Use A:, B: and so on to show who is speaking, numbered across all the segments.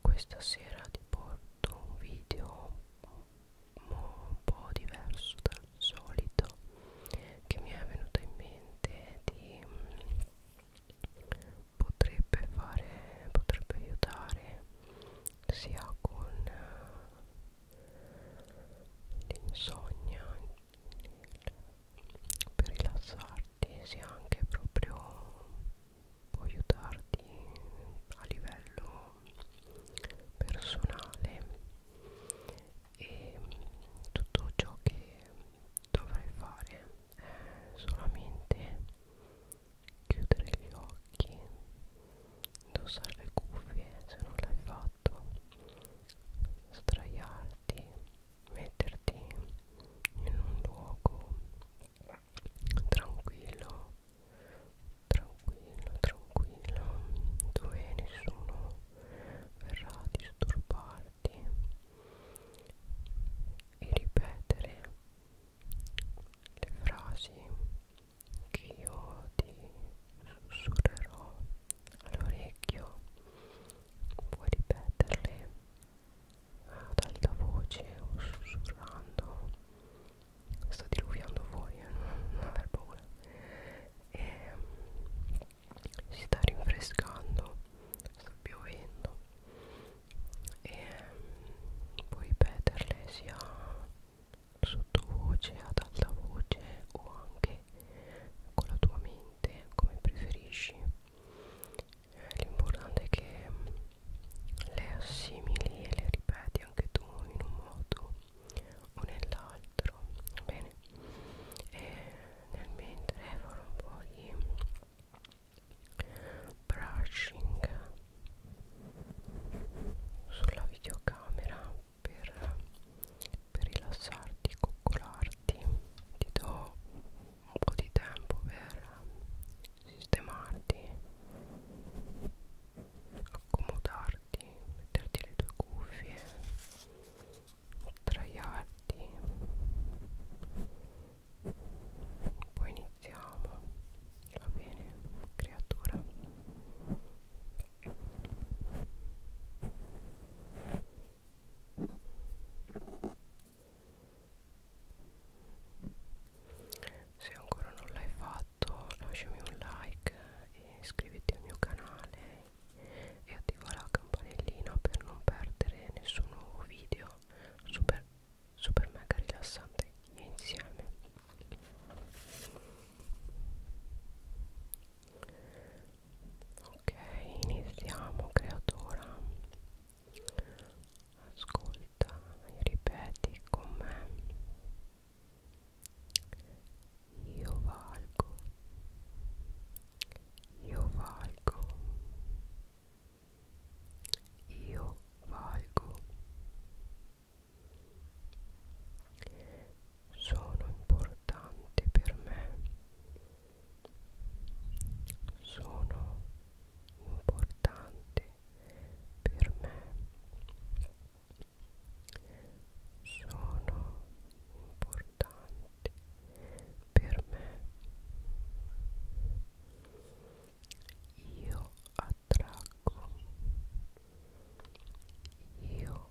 A: questa sera ti porto un video un po' diverso dal solito che mi è venuto in mente di mm, potrebbe fare potrebbe aiutare sia con eh, l'insonnia in per rilassarti sia anche proprio può aiutarti a livello personale e tutto ciò che dovrai fare è solamente chiudere gli occhi indossare le cuffie se non l'hai fatto letto sdraiarti metterti in un luogo tranquillo tranquillo tranquillo dove nessuno verrà a disturbarti e ripetere le frasi che io ti sussurrerò all'orecchio puoi ripeterle ad eh, alta voce o sussurrando sto diluviando voi eh? non aver paura e mm, si sta rinfrescando sta piovendo e mm, puoi ripeterle sia sottovoce ad alta voce o anche con la tua mente te come preferisci eh, l'importante è che mm, le assimili e le ripeti anche tu in un modo o nell'altro bene e nel mentre farò un po' di mm, brushing sulla videocamera per, per rilassarti, coccolarti ti do un po' di tempo per sistemarti accomodarti, metterti le tue cuffie sdraiarti poi iniziamo va bene creatura se ancora non l'hai fatto lasciami un like e iscriviti al mio canale e attiva la campanellina per non perdere nessun nuovo video super, super mega rilassante insieme ok iniziamo creatura ascolta ripeti con me io valgo io valgo io valgo sono importanti per me sono importanti per me sono importanti per me io attraggo io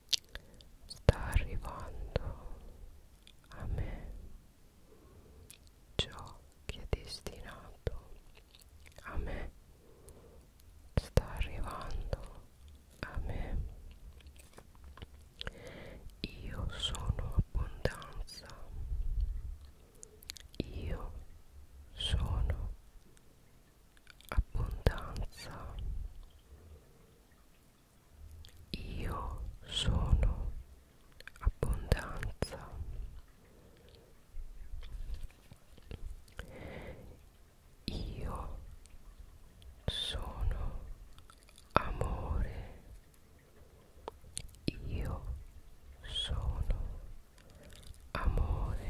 A: sta arrivando a me ciò che è destinato a me sta arrivando a me io sono abbondanza io sono abbondanza io sono abbondanza. Io sono amore. Io sono amore.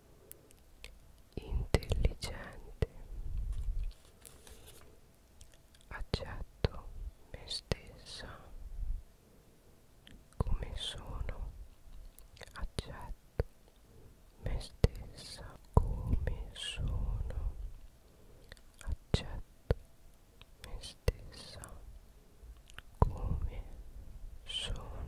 A: intelligente accetto me stessa come sono accetto me stessa come sono accetto me stessa come sono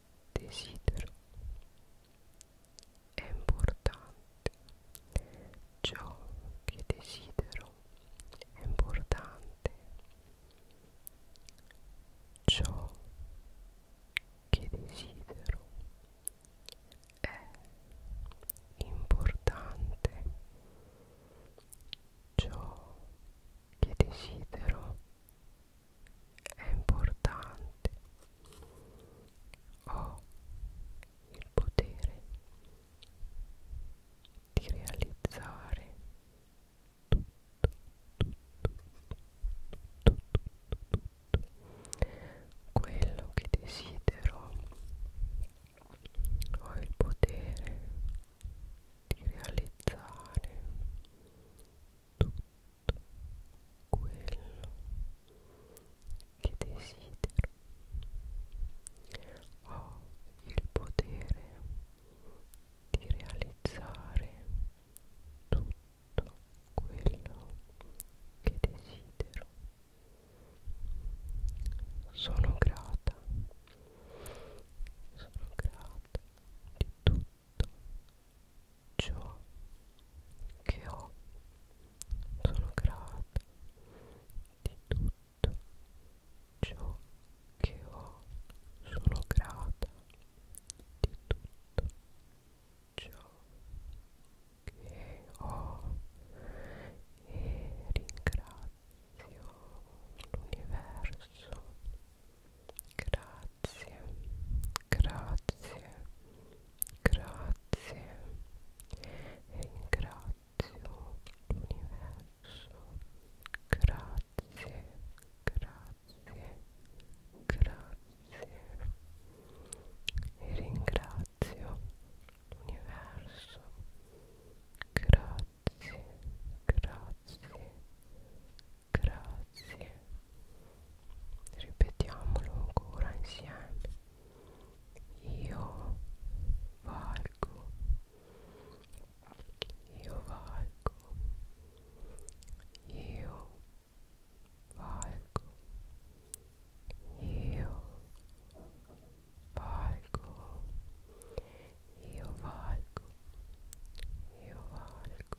A: desidero è importante ciò che desidero è importante ciò che desidero è importante ciò che desidero è importante ho il potere di realizzare tutto, tutto, tutto, tutto, tutto quello che desidero ho il potere di realizzare tutto quello che desidero. Ho il potere di realizzare tutto quello che desidero. Sono grata, sono grata di tutto tutto ciò che ho sono grata di tutto ciò che ho sono grata di tutto ciò che ho e ringrazio l'universo grazie grazie, grazie, grazie e ringrazio l'universo, grazie, grazie, grazie e ringrazio l'universo, grazie, grazie. Grazie, Grazie. Ripetiamolo ancora insieme. Io valgo. Io valgo. Io valgo. Io valgo. Io valgo. Io valgo.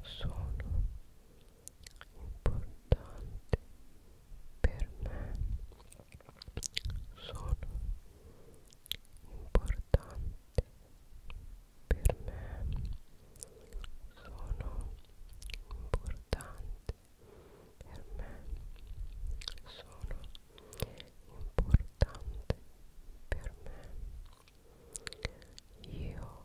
A: sono importanti per me sono importanti per me sono importanti per me sono importante per me io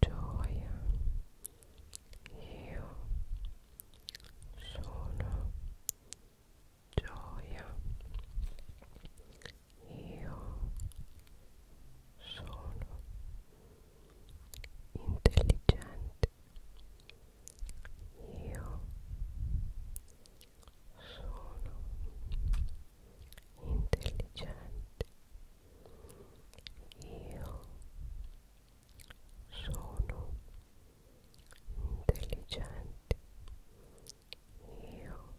A: gioia io sono gioia io sono intelligente io sono intelligente io sono intelligenti io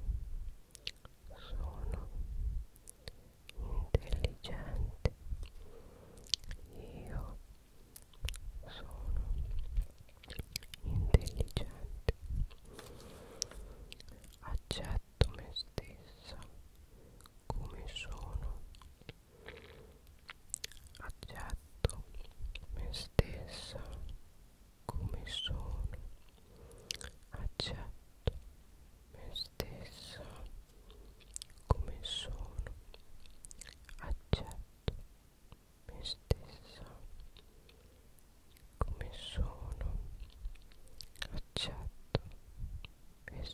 A: sono intelligente io sono intelligente accetto me stessa come sono accetto me stessa come sono accetto me stessa come sono accetto me stessa come sono accetto me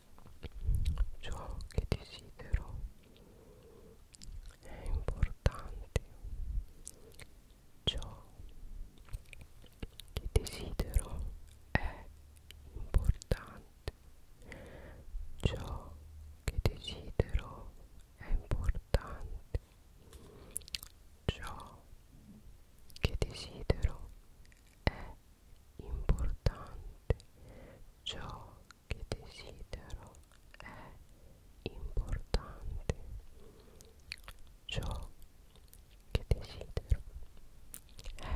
A: ciò che desidero è importante ciò che desidero è importante ciò che desidero è importante ciò che desidero è importante, ciò che desidero è importante, ciò che desidero è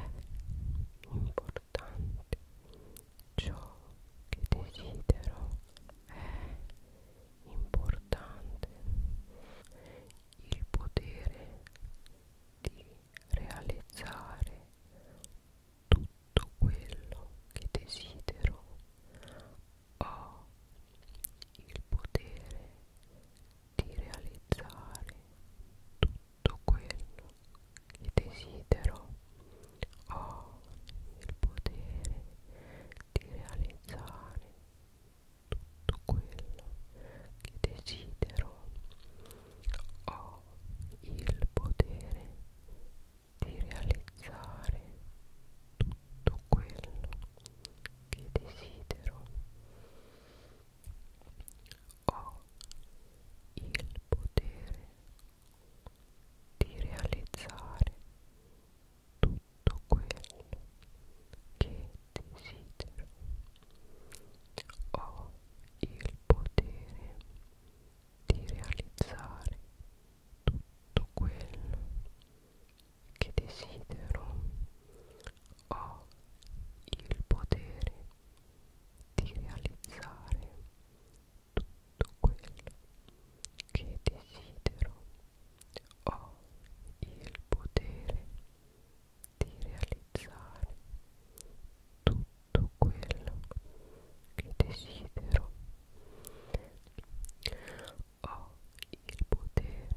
A: importante, ciò che desidero è importante, il potere di realizzare tutto quello che desidero ho il potere di realizzare tutto quello che desidero ho il potere di realizzare tutto quello che desidero ho il potere di realizzare tutto quello che desidero ho il potere di realizzare tutto quello che desidero ho il potere di realizzare tutto quello che desidero ho il potere di realizzare tutto quello che desidero ho il potere di realizzare tutto quello che desidero. Ho il potere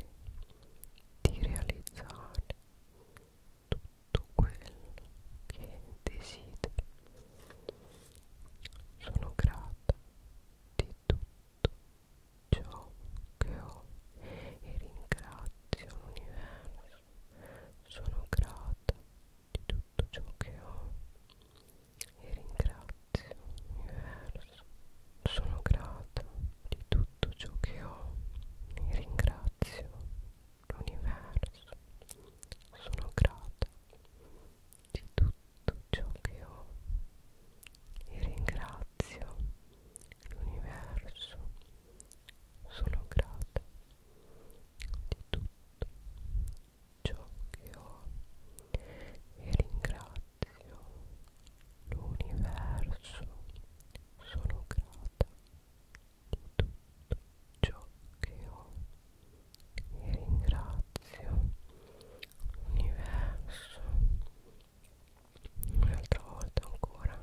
A: di realizzare tutto quello che desidero. Sono grata di tutto ciò che ho e ringrazio l'universo sono grata di tutto ciò che ho e ringrazio l'universo. Sono grata di tutto ciò che ho e ringrazio l'universo. Sono grata di tutto ciò che ho e ringrazio l'universo. Sono grata di tutto ciò che ho e ringrazio l'universo. Sono grata di tutto ciò che ho e ringrazio l'universo. Un'altra volta ancora.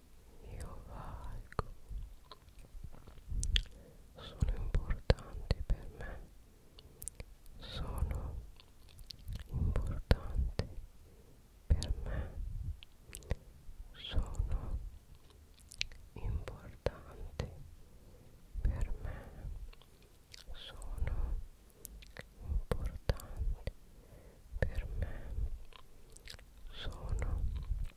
A: io valgo sono importanti per me sono importanti per me sono importanti per me sono importanti per me sono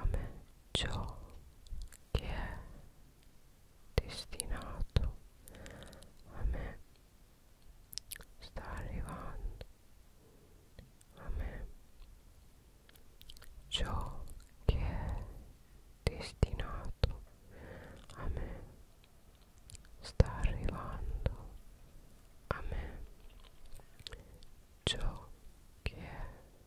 A: a me ciò che è destinato a me sta arrivando a me ciò che è destinato a me sta arrivando a ciò che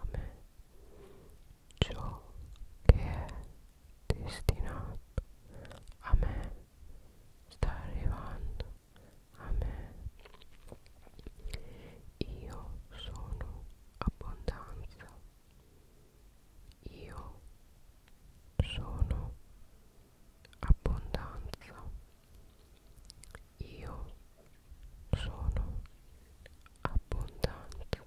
A: a me ciò che è destinato a me sta arrivando a me io sono abbondanza io sono abbondanza io sono abbondanza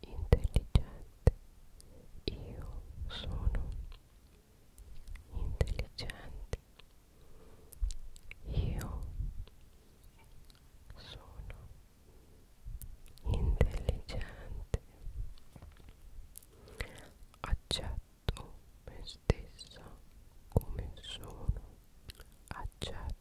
A: intelligente. Io sono intelligente. Io sono intelligente. Accetto me stessa come sono. Accetto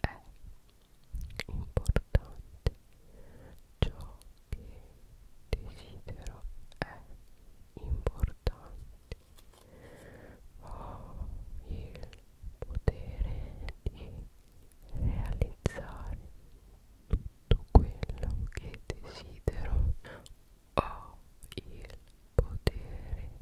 A: è importante ciò che desidero è importante ho il potere di realizzare tutto quello che desidero ho il potere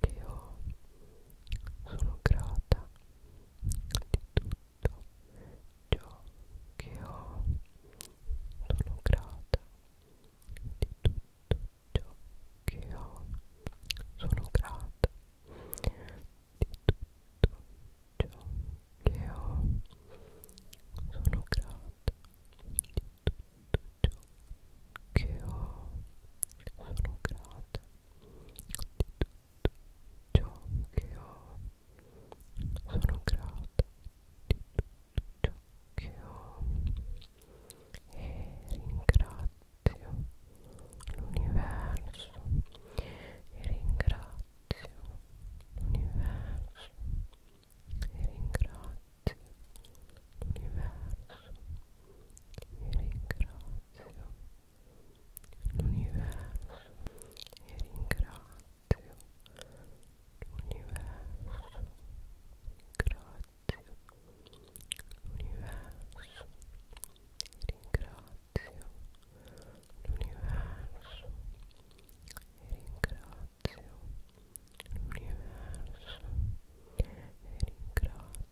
A: che io sono grata di tutto ciò che ho sono grata di tutto ciò che ho sono grata di tutto ciò che ho sono grata di tutto ciò che ho sono grata note di tutto ciò che ho sono grata di tutto ciò che ho e ringrazio l'universo e ringrazio l'universo e ringrazio l'universo e ringrazio l'universo e ringrazio l'universo grazie l'universo e ringrazio l'universo e ringrazio l'universo e ringrazio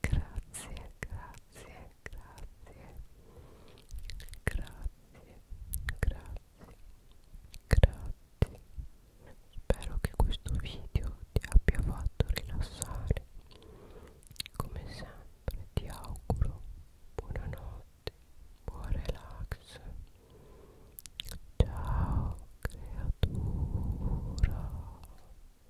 A: Grazie, grazie, grazie. Grazie, grazie, grazie. Spero che questo video ti abbia fatto rilassare. Come sempre ti auguro buonanotte, buon relax. Ciao creatura.